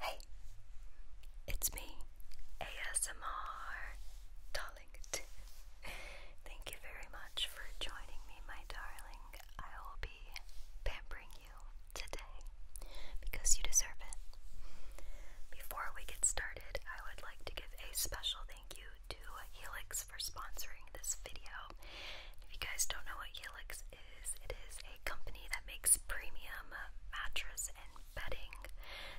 Hey, it's me, ASMR Darlington. Thank you very much for joining me, my darling. I will be pampering today because you deserve it. Before we get started, I would like to give a special thank you to Helix for sponsoring this video. If you guys don't know what Helix is, it is a company that makes premium mattresses and bedding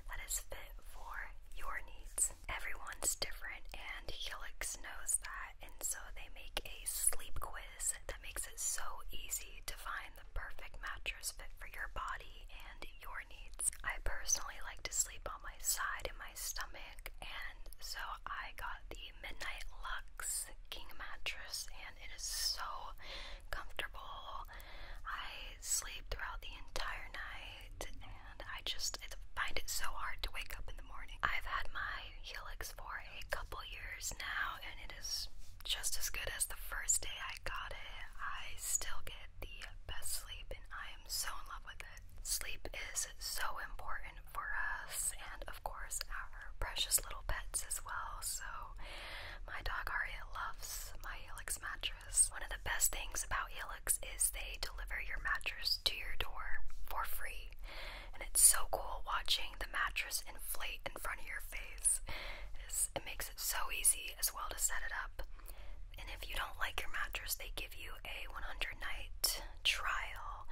that is fit for your needs. Everyone's different, and Helix knows that, and so they make a sleep quiz that makes it so easy to find the perfect mattress fit for your body and your needs. I personally like to sleep on my side in my stomach, and so I got the Midnight Luxe King mattress, and it is so comfortable. I sleep throughout the entire night, and I just find it so hard to wake up in the morning. I've had my Helix for a couple years now, and it is just as good as the first day I got it. I still get the best sleep, and I am so in love with it. Sleep is so important for us, and of course, our precious little pets as well. So, my dog Aria loves my Helix mattress. One of the best things about Helix is they deliver your mattress to your door for free and it's so cool watching the mattress inflate in front of your face. it makes it so easy as well to set it up. And if you don't like your mattress, they give you a 100 night trial.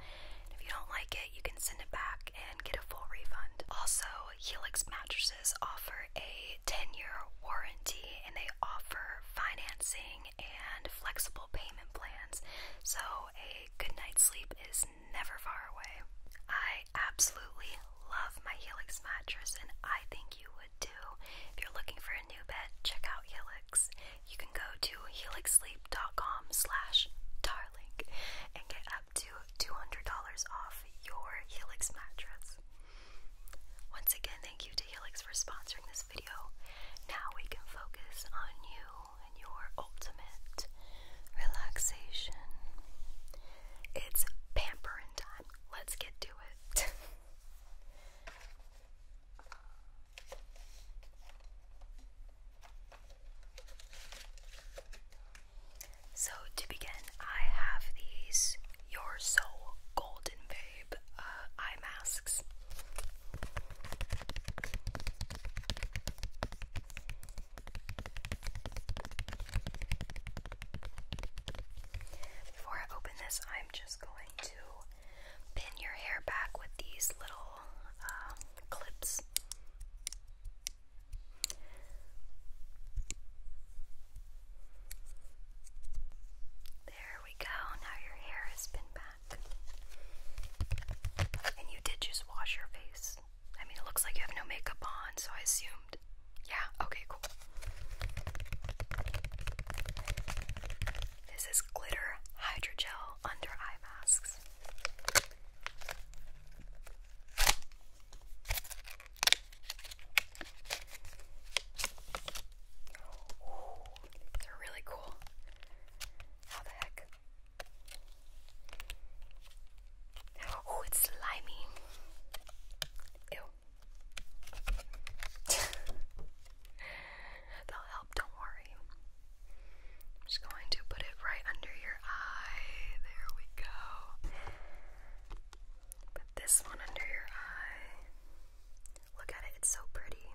if you don't like it, you can send it back and get a full refund. Also, Helix mattresses offer a 10 year warranty and they offer financing and flexible payment plans. So a good night's sleep is never far away. I absolutely love my Helix mattress, and I think you would too. If you're looking for a new bed, check out Helix. You can go to helixsleep.com slash darling and get up to $200 off your Helix mattress. Once again, thank you to Helix for sponsoring this video. Now we can focus on you and your ultimate relaxation. It's pampering time. Let's get to it. so, to begin, I have these Your Soul Golden Babe. Uh, masks. Before I open this, I'm just going to pin your hair back with these little um, clips. There we go. Now your hair has been back. And you did just wash your face. I mean, it looks like you have no makeup on, so I assumed. Yeah, okay, cool. This is glitter hydrogel under eye masks cool. They're really cool. How the heck? Oh, it's slimy. Ew. That'll help, don't worry. I'm just going to put it right under your eye. There we go. Put this one under your eye. Look at it, it's so pretty.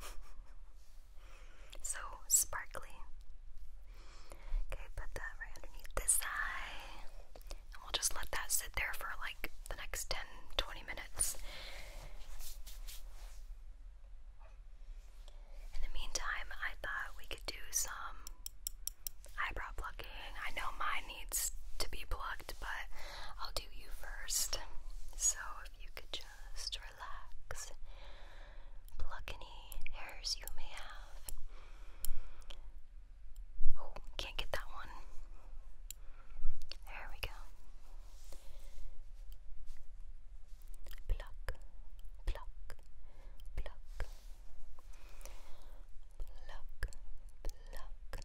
so sparkly. Okay, put that right underneath this eye. And we'll just let that sit there for like the next 10 minutes. In the meantime, I thought we could do some eyebrow plucking. I know mine needs to be plucked, but I'll do you first. So if you could just relax. Pluck any hairs you may have. Oh, can't get that one. There we go. Pluck, pluck, pluck. Pluck, pluck,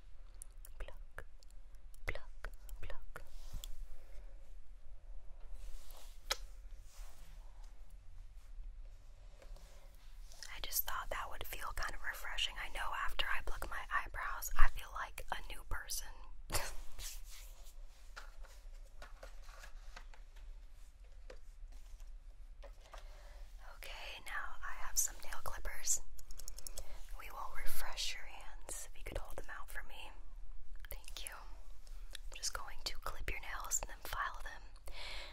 pluck, pluck, pluck. I just thought that would feel kind of refreshing. I know after I pluck my eyebrows, I feel like a new person. Okay, now I have some nail clippers. We will refresh your hands if you could hold them out for me. Thank you. I'm just going to clip your nails and then file them.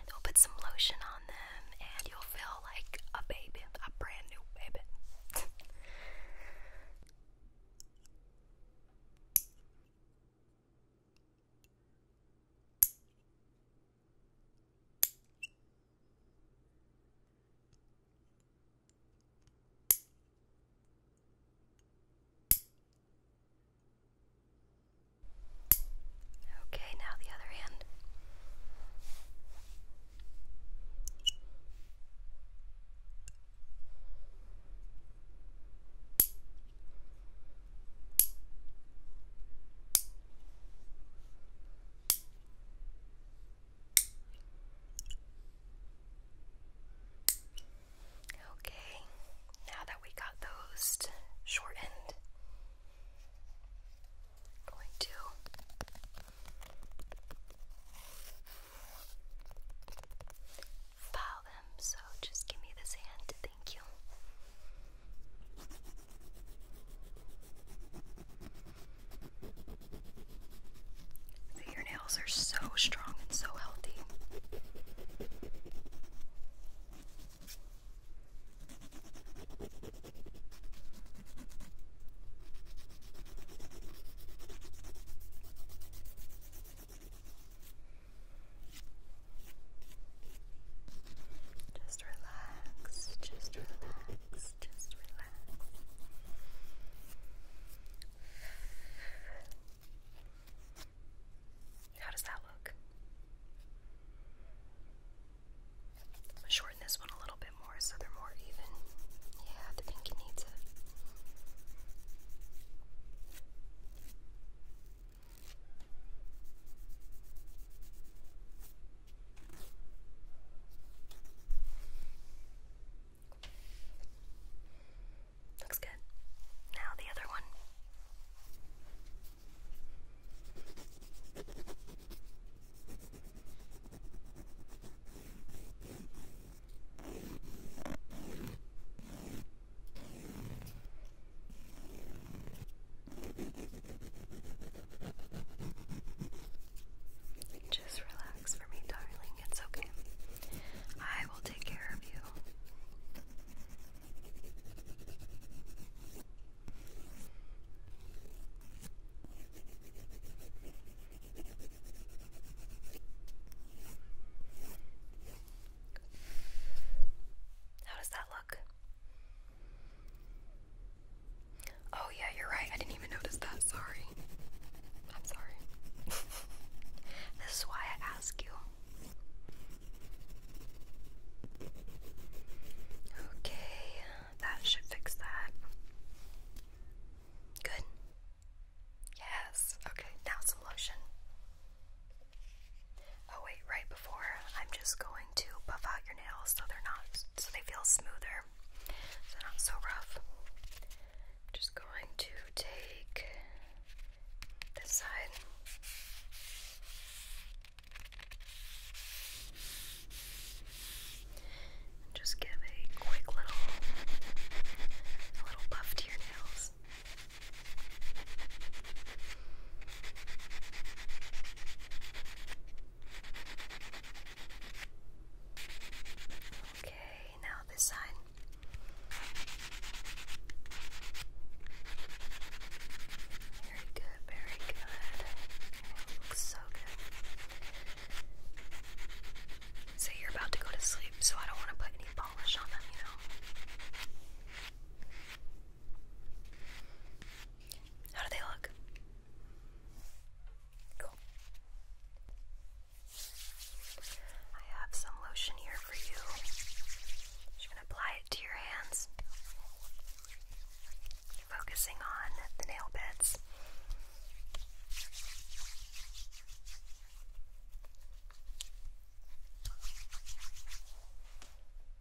we'll put some lotion on them and you'll feel like a baby, a brand new baby. Okay, now the other hand. Okay, now that we got those shortened, going to file them. So just give me this hand. Thank you. Your nails are so strong and so healthy. Just relax, just relax. How does that look? I'm gonna shorten this one a little bit more so they're more even. Yeah, the pinky needs it. Looks good. Now the other one. Just relax for me, darling. It's okay. I will take care of you. How does that look? Oh, yeah, you're right. I didn't even notice that. Sorry. I'm sorry. this is why I ask you. Okay, that should fix that. Good. Yes. Okay, now some lotion. Oh, wait, right before, I'm just going to buff out your nails so they're not so they feel smoother, so they're not so rough. just going to take this side. And just give a quick little a little buff to your nails. Okay, now this side. Very good, very good. It looks so good. Say you're about to go to sleep, so I don't want to put any polish on them, you know. How do they look? Cool. I have some lotion here for you. Just gonna apply it to your hands. Focusing on the nail beds. A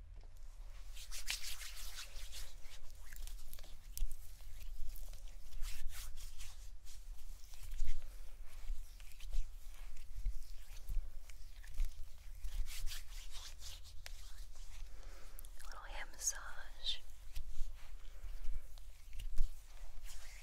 little hand massage. Good.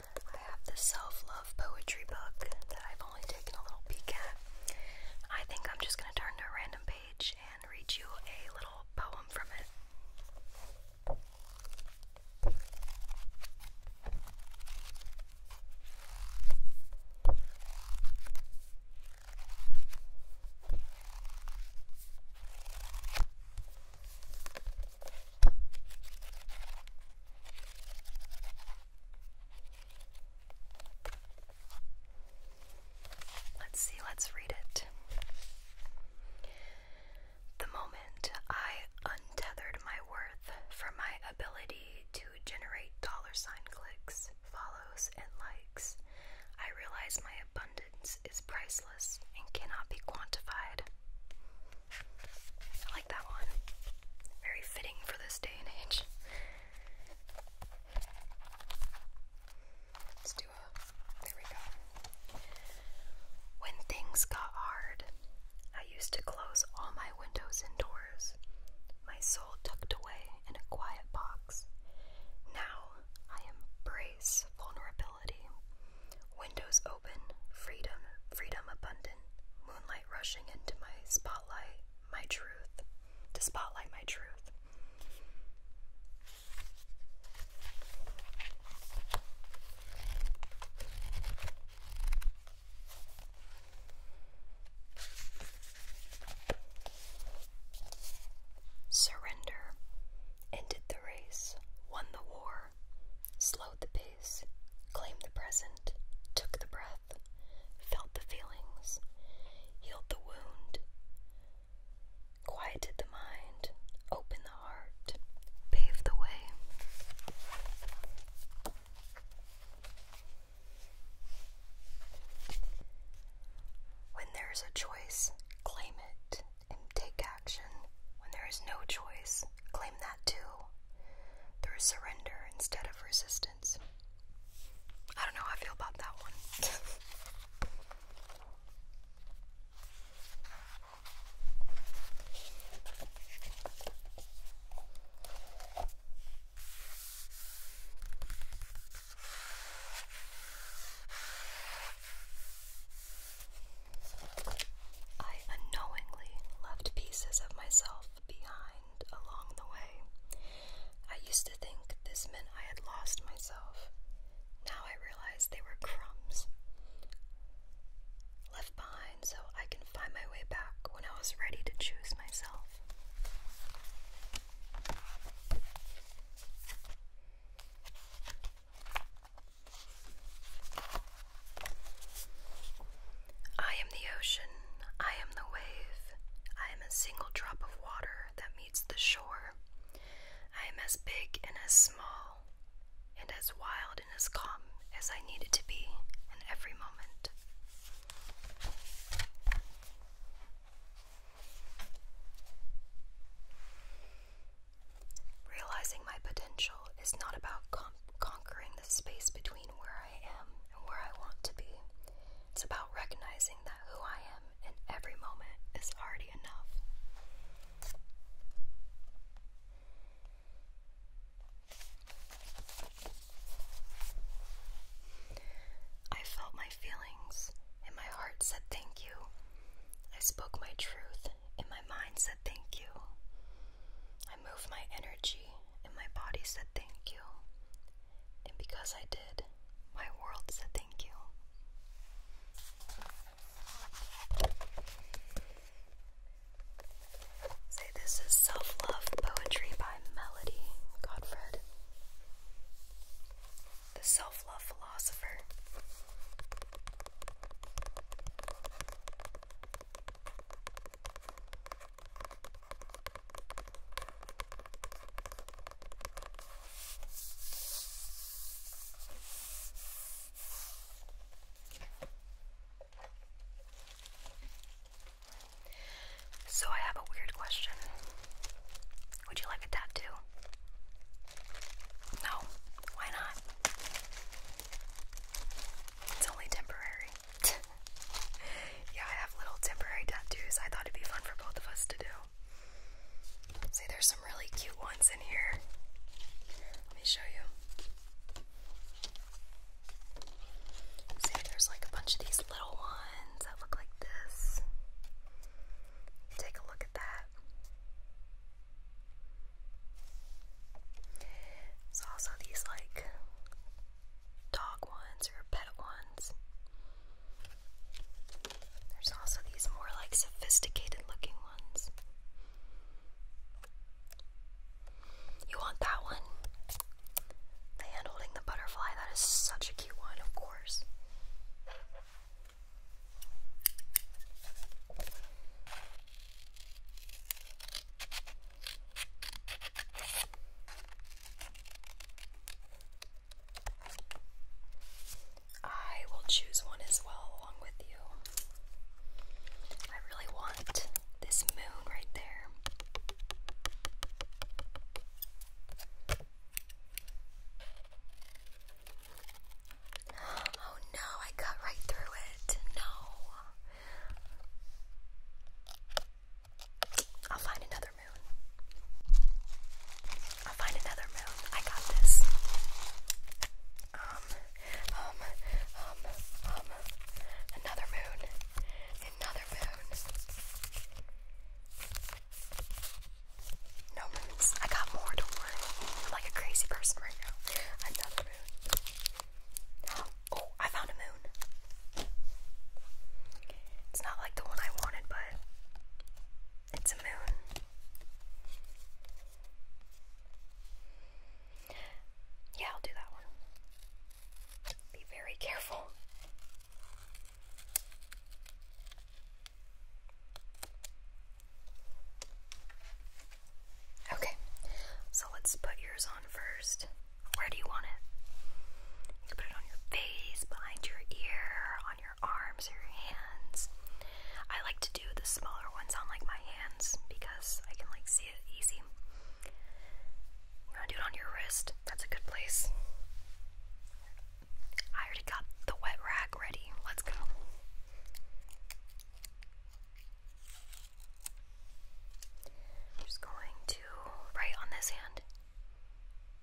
I have this self love poetry book that I've only taken a little peek at. I think I'm just going to turn to a random page and read you a little poem from it. Let's see, let's read it. The moment I untethered my worth from my ability to generate dollar sign clicks, follows, and likes, I realize my abundance is priceless and cannot be quantified. I like that one. Very fitting for this day and age. Let's do a. There we go. When things got hard, I used to close all my windows and doors, my soul tucked away in a quiet box. Now I embrace vulnerability. Windows open, freedom, freedom abundant, moonlight rushing into my spotlight, my truth, to spotlight my truth. Surrender ended the race, won the war, more, slowed the pace, claimed the present, took the breath, felt the feelings, healed the wound, quieted the mind, opened the heart, paved the way. When there is a choice, claim it and take action when there is no choice. Claim that too. Through surrender instead of resistance. I don't know how I feel about that one. I unknowingly left pieces of myself behind along the way. I used to think this meant I had lost myself. Now I realize they were crumbs left behind so I can find my way back when I was ready to choose myself. I am the ocean, I am the wave, I am a single drop of water that meets the shore. I am as big and as small, and as wild and as calm as I needed to be in every moment. Realizing my potential is not about conquering the space between where I am and where I want to be. It's about recognizing that who I am in every moment is already enough. I felt my feelings, and my heart said thank you. I spoke my truth, and my mind said thank you. I moved my energy, and my body said thank you. And because I did, my world said thank you. Say this is self love poetry by Melody Godfred the self love philosopher. So, I have a weird question. Would you like a tattoo? No, why not? It's only temporary. yeah, I have little temporary tattoos. I thought it'd be fun for both of us to do. See, there's some really cute ones in here. Let me show you. See, there's like a bunch of these little ones that look like this. Take a look at that. There's also these like dog ones or pet ones. There's also these more like sophisticated looking ones. You want that one? The hand holding the butterfly, that is such a cute one, of course. I will choose one as well along with you. I really want this moon right there. Oh no, I cut right through it. No. I'll find another moon. I'll find another moon. I got this. Um, um, um, um, another moon. Another moon. No moons. I got more, don't worry. I'm like a crazy person right now. Another moon. Oh, I found a moon. It's not like the one I wanted, but it's a moon. Yeah, I'll do that one. Be very careful. Okay, so let's put yours on first. Where do you want it? You can put it on your face, behind your ear, on your arms, or your hands. I like to do the smaller ones on like my hands because I can like see it easy. You want to do it on your wrist? That's a good place. I already got the wet rag ready. Let's go. just going to right on this hand.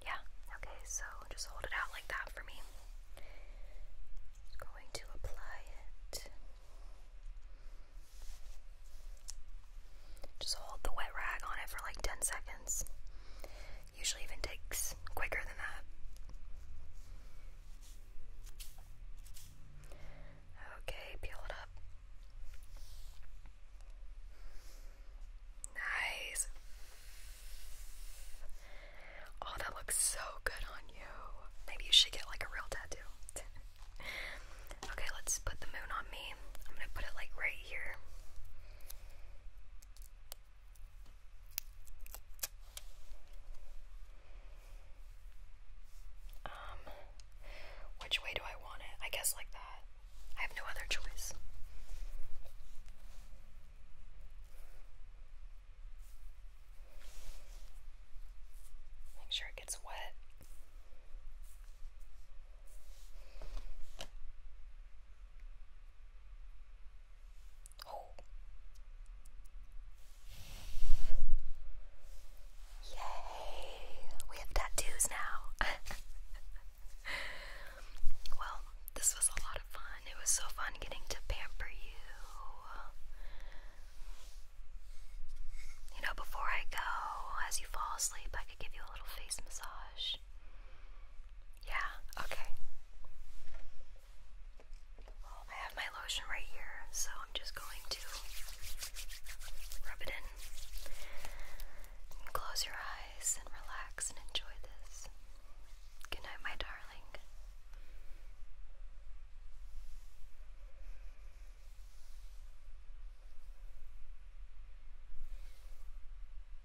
Yeah, okay, so just hold it out like that for me. going to apply it. Just hold the wet rag on it for like 10 seconds. Usually even takes quicker than that. Okay, peel it up. Nice. Oh, that looks so good on you. Maybe you should get like a real tattoo. okay, let's put the moon on me. I'm gonna put it like right here. Um, which way do I want it? I guess like that. I have no other choice. Make sure it gets wet. Yay! We have tattoos now. well, this was a lot of fun. It was so fun getting to pamper you. You know, before I go, as you fall asleep, I could give you a little face massage. Yeah, okay. I have my lotion right here, so I'm just going to rub it in. close your eyes and relax and enjoy this. Good night, my darling.